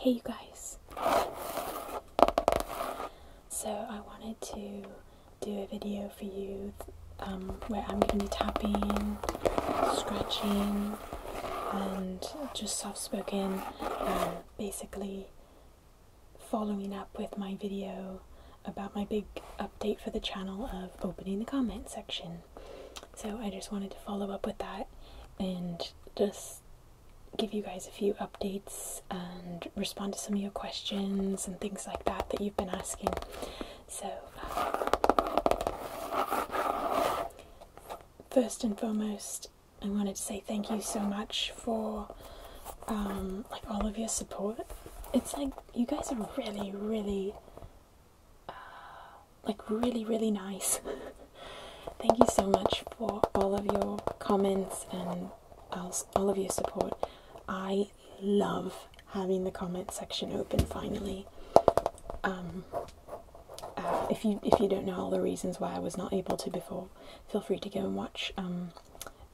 Hey, you guys. So, I wanted to do a video for you um, where I'm going to be tapping, scratching, and just soft spoken um, basically following up with my video about my big update for the channel of opening the comment section. So I just wanted to follow up with that and just give you guys a few updates and respond to some of your questions and things like that that you've been asking. So, uh, first and foremost, I wanted to say thank you so much for um, like all of your support. It's like you guys are really, really, uh, like really, really nice. thank you so much for all of your comments and all of your support. I love having the comment section open finally. Um, um, if you if you don't know all the reasons why I was not able to before, feel free to go and watch um,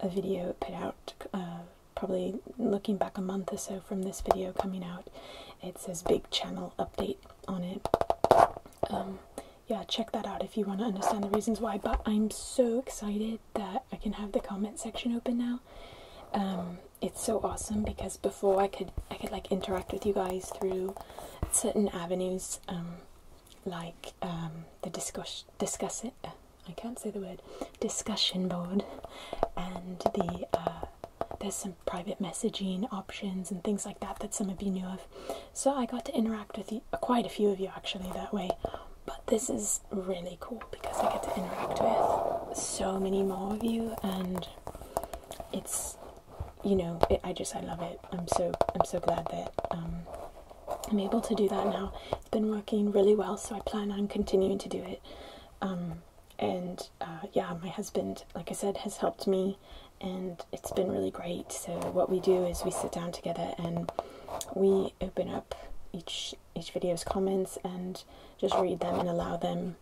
a video put out. Uh, probably looking back a month or so from this video coming out, it says big channel update on it. Um, yeah, check that out if you want to understand the reasons why. But I'm so excited that I can have the comment section open now. it's so awesome because before I could I could like interact with you guys through certain avenues um, like um, the discuss discuss it. Uh, I can't say the word discussion board, and the uh, there's some private messaging options and things like that that some of you knew of. So I got to interact with uh, quite a few of you actually that way. But this is really cool because I get to interact with so many more of you, and it's you know, I just I love it. I'm so I'm so glad that um, I'm able to do that now. It's been working really well, so I plan on continuing to do it. Um, and uh, yeah, my husband, like I said, has helped me, and it's been really great. So what we do is we sit down together and we open up each each video's comments and just read them and allow them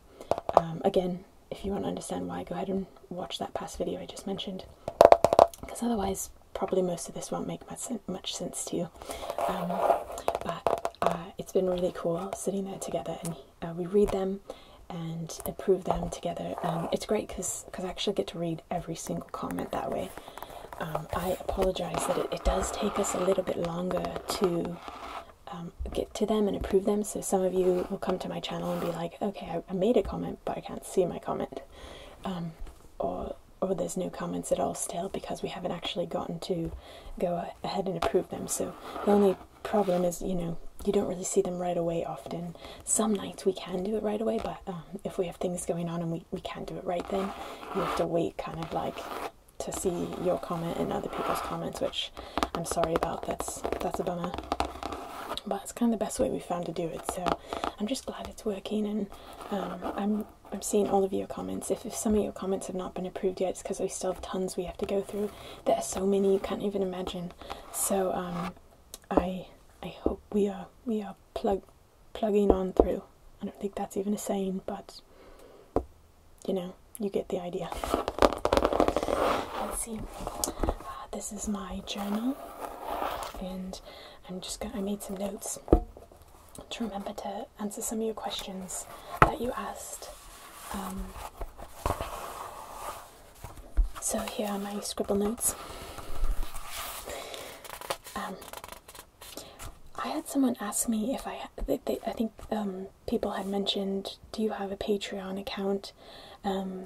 um, again if you want to understand why, go ahead and watch that past video I just mentioned, because otherwise, probably most of this won't make much, much sense to you. Um, but uh, it's been really cool sitting there together, and uh, we read them and approve them together. Um, it's great because I actually get to read every single comment that way. Um, I apologize that it, does take us a little bit longer to um, get to them and approve them. So some of you will come to my channel and be like, okay, I, made a comment, but I can't see my comment. Um, or, or there's no comments at all still because we haven't actually gotten to go ahead and approve them. So the only problem is, you know, you don't really see them right away often. Some nights we can do it right away, but um, if we have things going on and we, we can't do it right then, you have to wait kind of like to see your comment and other people's comments, which I'm sorry about that's that's a bummer. But it's kind of the best way we found to do it. So I'm just glad it's working, and um, I'm I'm seeing all of your comments. If, if some of your comments have not been approved yet, it's because we still have tons we have to go through. There are so many you can't even imagine. So um, I I hope we are we are plugging on through. I don't think that's even a saying, but you know you get the idea. Let's see. Uh, this is my journal, and I'm just going. I made some notes to remember to answer some of your questions that you asked. Um, so here are my scribble notes. Um, I had someone ask me if I, they, I think um, people had mentioned, do you have a Patreon account? Um,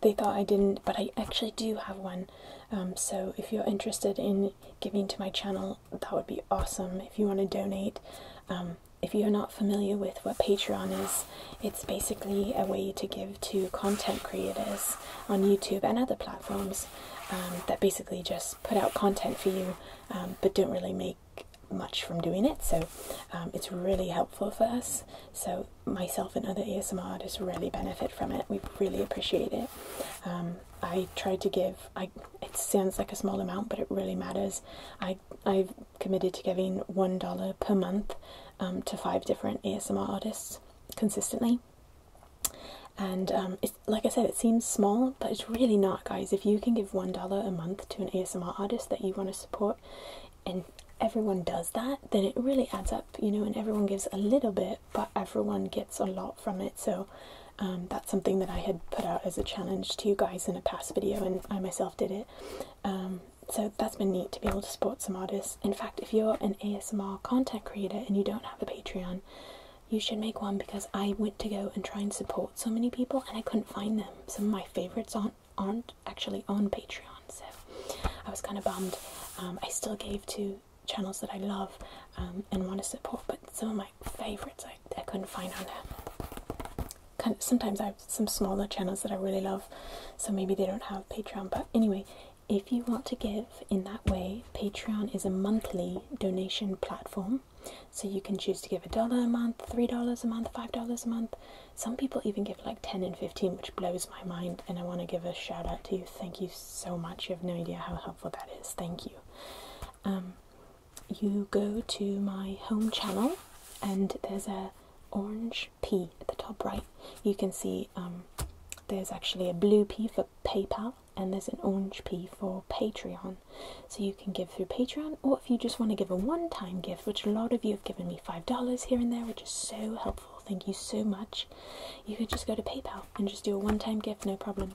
they thought I didn't, but I actually do have one. Um, so if you're interested in giving to my channel, that would be awesome if you want to donate. Um, if you're not familiar with what Patreon is, it's basically a way to give to content creators on YouTube and other platforms that basically just put out content for you but don't really make much from doing it, so um, it's really helpful for us. So myself and other ASMR artists really benefit from it. We really appreciate it. Um, I try to give. I it sounds like a small amount, but it really matters. I I've committed to giving one dollar per month um, to five different ASMR artists consistently. And it's, like I said, it seems small, but it's really not, guys. If you can give $1 a month to an ASMR artist that you want to support, and everyone does that, then it really adds up, you know, and everyone gives a little bit, but everyone gets a lot from it. So um, that's something that I had put out as a challenge to you guys in a past video, and I myself did it. Um, so that's been neat to be able to support some artists. In fact, if you're an ASMR content creator and you don't have a Patreon, you should make one because I went to go and try and support so many people and I couldn't find them. Some of my favorites aren't aren't actually on Patreon, so I was kind of bummed. Um, I still gave to channels that I love um, and want to support, but some of my favorites I, I couldn't find on there. Kind of, sometimes I have some smaller channels that I really love, so maybe they don't have Patreon. But anyway, if you want to give in that way, Patreon is a monthly donation platform so you can choose to give a dollar a month, three dollars a month, five dollars a month. Some people even give like 10 and 15, which blows my mind. And I want to give a shout out to you. Thank you so much. You have no idea how helpful that is. Thank you. Um, you go to my home channel, and there's a orange P at the top right. You can see um, there's actually a blue P for PayPal, and there's an orange P for Patreon. So you can give through Patreon, or if you just want to give a one time gift, which a lot of you have given me $5 here and there, which is so helpful. Thank you so much. You could just go to PayPal and just do a one time gift, no problem.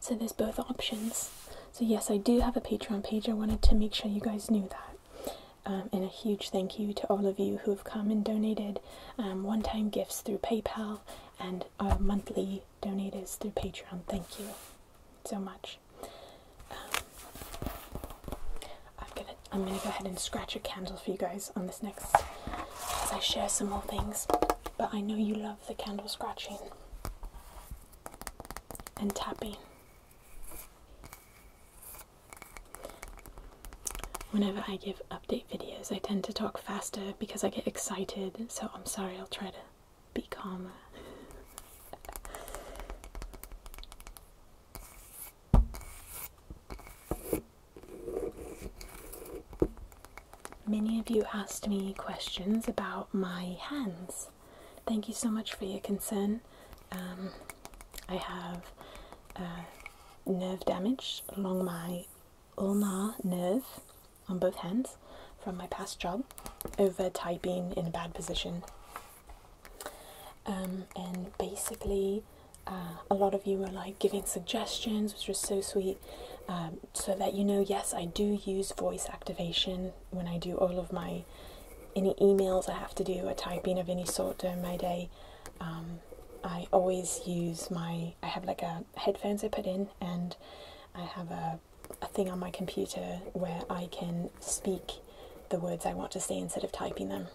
So there's both options. So, yes, I do have a Patreon page. I wanted to make sure you guys knew that. Um, and a huge thank you to all of you who have come and donated um, one time gifts through PayPal and our uh, monthly donors through Patreon. Thank you so much. Um, I'm gonna I'm gonna go ahead and scratch a candle for you guys on this next as I share some more things. But I know you love the candle scratching and tapping. Whenever I give update videos, I tend to talk faster because I get excited. So I'm sorry. I'll try to be calm. Many of you asked me questions about my hands. Thank you so much for your concern. Um, I have uh, nerve damage along my ulnar nerve, on both hands from my past job over typing in a bad position. Um, and basically, uh, a lot of you were like giving suggestions, which was so sweet. Um, so that you know, yes, I do use voice activation when I do all of my any emails I have to do, a typing of any sort during my day. Um, I always use my I have like a headphones I put in, and I have a a, thing on my computer where I can speak the words I want to say instead of typing them.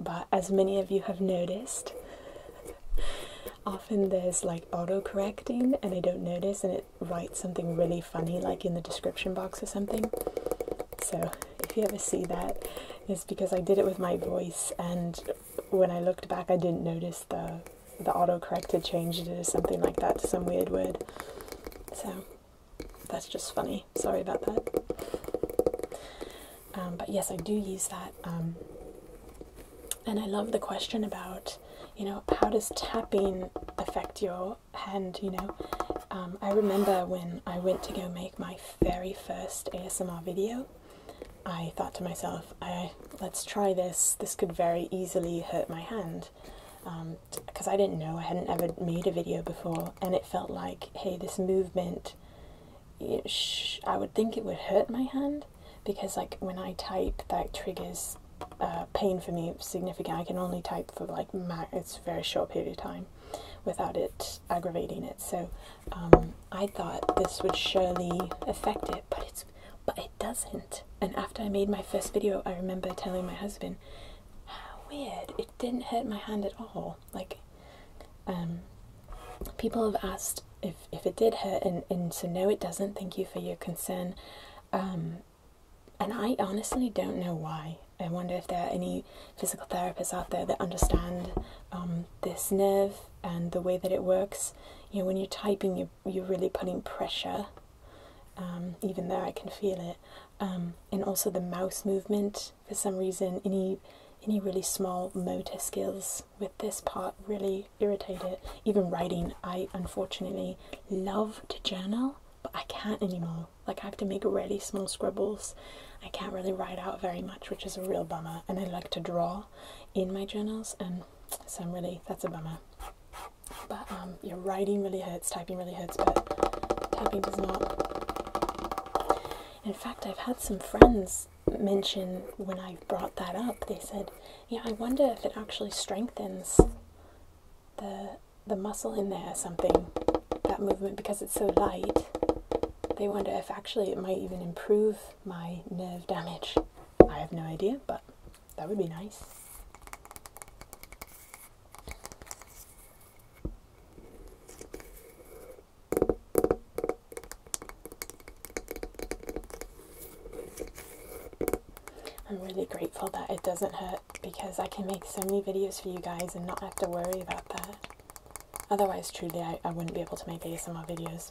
But as many of you have noticed, often there's like auto correcting and I don't notice and it writes something really funny like in the description box or something. So if you ever see that, it's because I did it with my voice and when I looked back I didn't notice the the autocorrect had changed it to something like that to some weird word. So that's just funny. Sorry about that. Um, but yes, I do use that. Um, and I love the question about, you know, how does tapping affect your hand? You know, um, I remember when I went to go make my very first ASMR video. I thought to myself, I let's try this. This could very easily hurt my hand because um, I didn't know I hadn't ever made a video before, and it felt like, hey, this movement, I would think it would hurt my hand because, like, when I type, that triggers uh, pain for me significant. I can only type for like it's very short period of time without it aggravating it. So um, I thought this would surely affect it, but it's but doesn't. And after I made my first video, I remember telling my husband, how weird, it didn't hurt my hand at all. Like, um, people have asked if, if it did hurt, and, and so no, it doesn't. Thank you for your concern. Um, and I honestly don't know why. I wonder if there are any physical therapists out there that understand um, this nerve and the way that it works. You know, when you're typing, you're, you're really putting pressure um, even though I can feel it, um, and also the mouse movement. For some reason, any any really small motor skills with this part really irritate it. Even writing, I unfortunately love to journal, but I can't anymore. Like I have to make really small scribbles. I can't really write out very much, which is a real bummer. And I like to draw in my journals, and so I'm really that's a bummer. But um, your writing really hurts, typing really hurts, but typing does not. In fact, I've had some friends mention when I brought that up, they said, "Yeah, I wonder if it actually strengthens the the muscle in there something." That movement because it's so light. They wonder if actually it might even improve my nerve damage. I have no idea, but that would be nice. I'm really grateful that it doesn't hurt because I can make so many videos for you guys and not have to worry about that. Otherwise, truly, I, I wouldn't be able to make ASMR videos.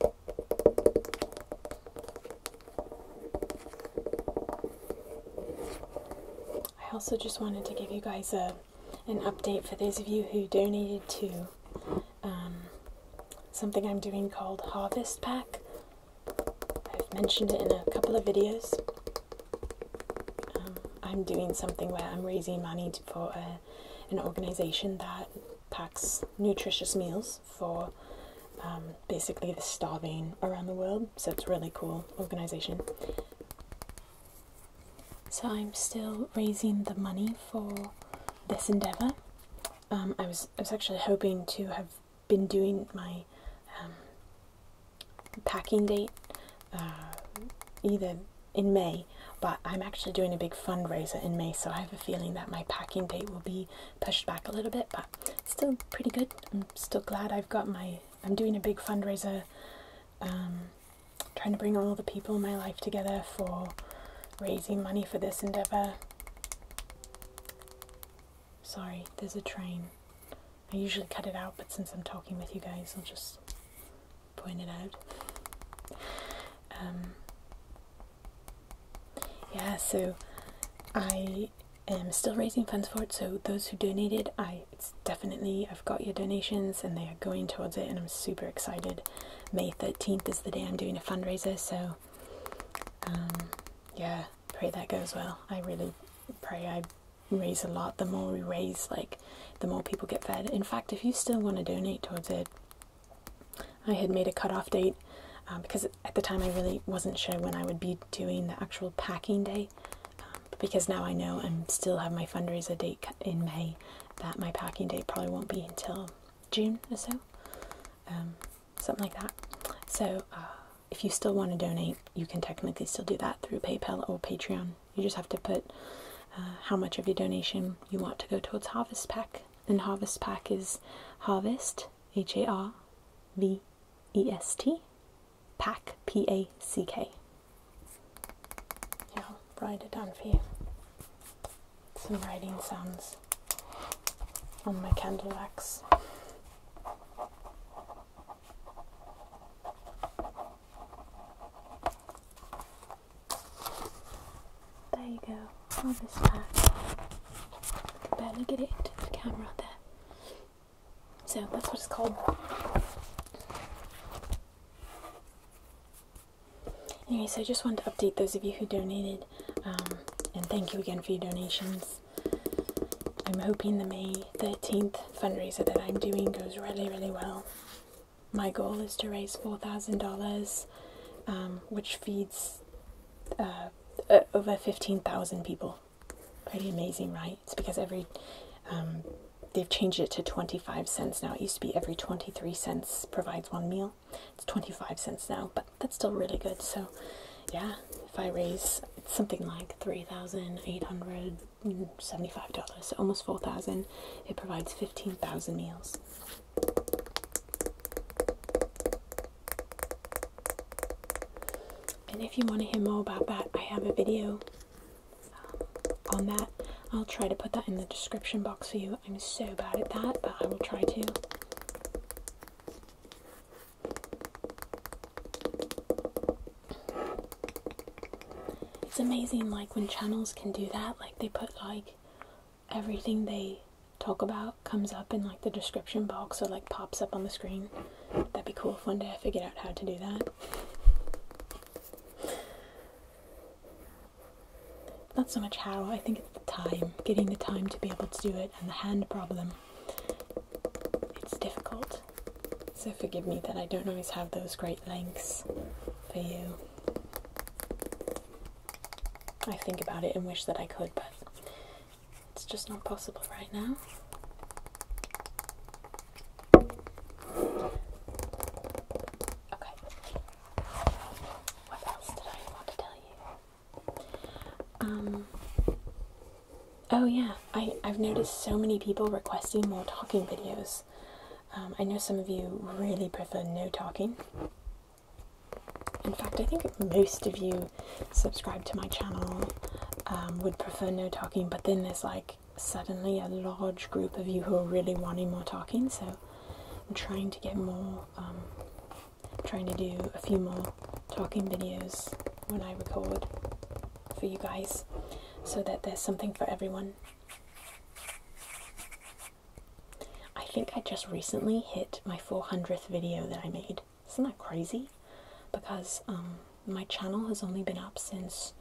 I also just wanted to give you guys a an update for those of you who donated to um, something I'm doing called Harvest Pack. I've mentioned it in a couple of videos. Um, I'm doing something where I'm raising money for uh, an organization that packs nutritious meals for um, basically the starving around the world. So it's really cool organization. So I'm still raising the money for this endeavor. Um, I was I was actually hoping to have been doing my um, packing date uh, either in May, but I'm actually doing a big fundraiser in May, so I have a feeling that my packing date will be pushed back a little bit, but still pretty good. I'm still glad I've got my. I'm doing a big fundraiser, um, trying to bring all the people in my life together for raising money for this endeavor. Sorry, there's a train. I usually cut it out, but since I'm talking with you guys, I'll just point it out. Um, yeah, so I am still raising funds for it. So those who donated, I it's definitely I've got your donations and they are going towards it, and I'm super excited. May 13th is the day I'm doing a fundraiser, so um, yeah, pray that goes well. I really pray I raise a lot. The more we raise, like the more people get fed. In fact, if you still want to donate towards it, I had made a cutoff date um, because at the time I really wasn't sure when I would be doing the actual packing day. Um, because now I know and still have my fundraiser date in May, that my packing date probably won't be until June or so, um, something like that. So uh, if you still want to donate, you can technically still do that through PayPal or Patreon. You just have to put uh, how much of your donation you want to go towards Harvest Pack then Harvest Pack is Harvest, H A R V E S T, Pack, P A C K. Yeah, I'll write it down for you. Some writing sounds on my candle wax. There you go, all this back. I can barely get it into the camera there. So that's what it's called. Anyway, so I just wanted to update those of you who donated, um, and thank you again for your donations. I'm hoping the May 13th fundraiser that I'm doing goes really, really well. My goal is to raise $4,000 which feeds uh, uh, over 15,000 people. Pretty amazing, right? It's because every um, they've changed it to 25 cents now. It used to be every 23 cents provides one meal. It's 25 cents now, but that's still really good. So, yeah, if I raise something like $3,875, almost 4000 it provides 15,000 meals. And if you want to hear more about that, I have a video um, on that. I'll try to put that in the description box for you. I'm so bad at that, but I will try to. It's amazing, like, when channels can do that, like, they put, like, everything they talk about comes up in like the description box or like pops up on the screen. That'd be cool if one day I figured out how to do that. Not so much how, I think it's the time, getting the time to be able to do it and the hand problem. It's difficult. So forgive me that I don't always have those great lengths for you. I think about it and wish that I could, but it's just not possible right now. Okay. What else did I want to tell you? Um Oh yeah, I, I've noticed so many people requesting more talking videos. Um, I know some of you really prefer no talking, in fact, I think most of you subscribe to my channel um, would prefer no talking, but then there's like suddenly a large group of you who are really wanting more talking, so I'm trying to get more, um, trying to do a few more talking videos when I record for you guys so that there's something for everyone. I think I just recently hit my 400th video that I made. Isn't that crazy? Because um, my channel has only been up since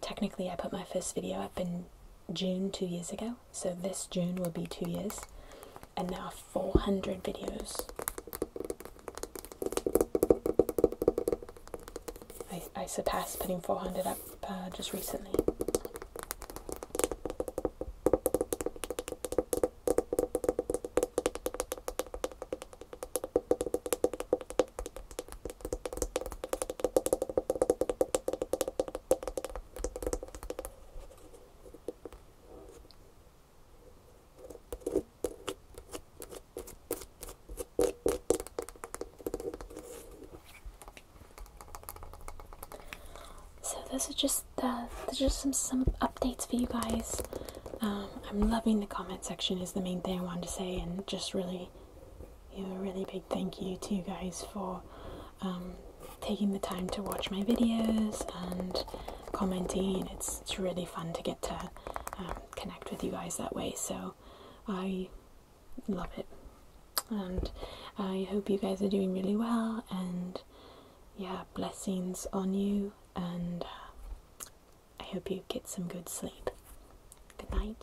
technically I put my first video up in June two years ago. So this June will be two years. And now 400 videos. I, I surpassed putting 400 up uh, just recently. So those are just uh, just some some updates for you guys. Um, I'm loving the comment section is the main thing I wanted to say, and just really, you know, really big thank you to you guys for um, taking the time to watch my videos and commenting. It's it's really fun to get to um, connect with you guys that way. So I love it. And I hope you guys are doing really well and yeah, blessings on you and uh, I hope you get some good sleep. Good night.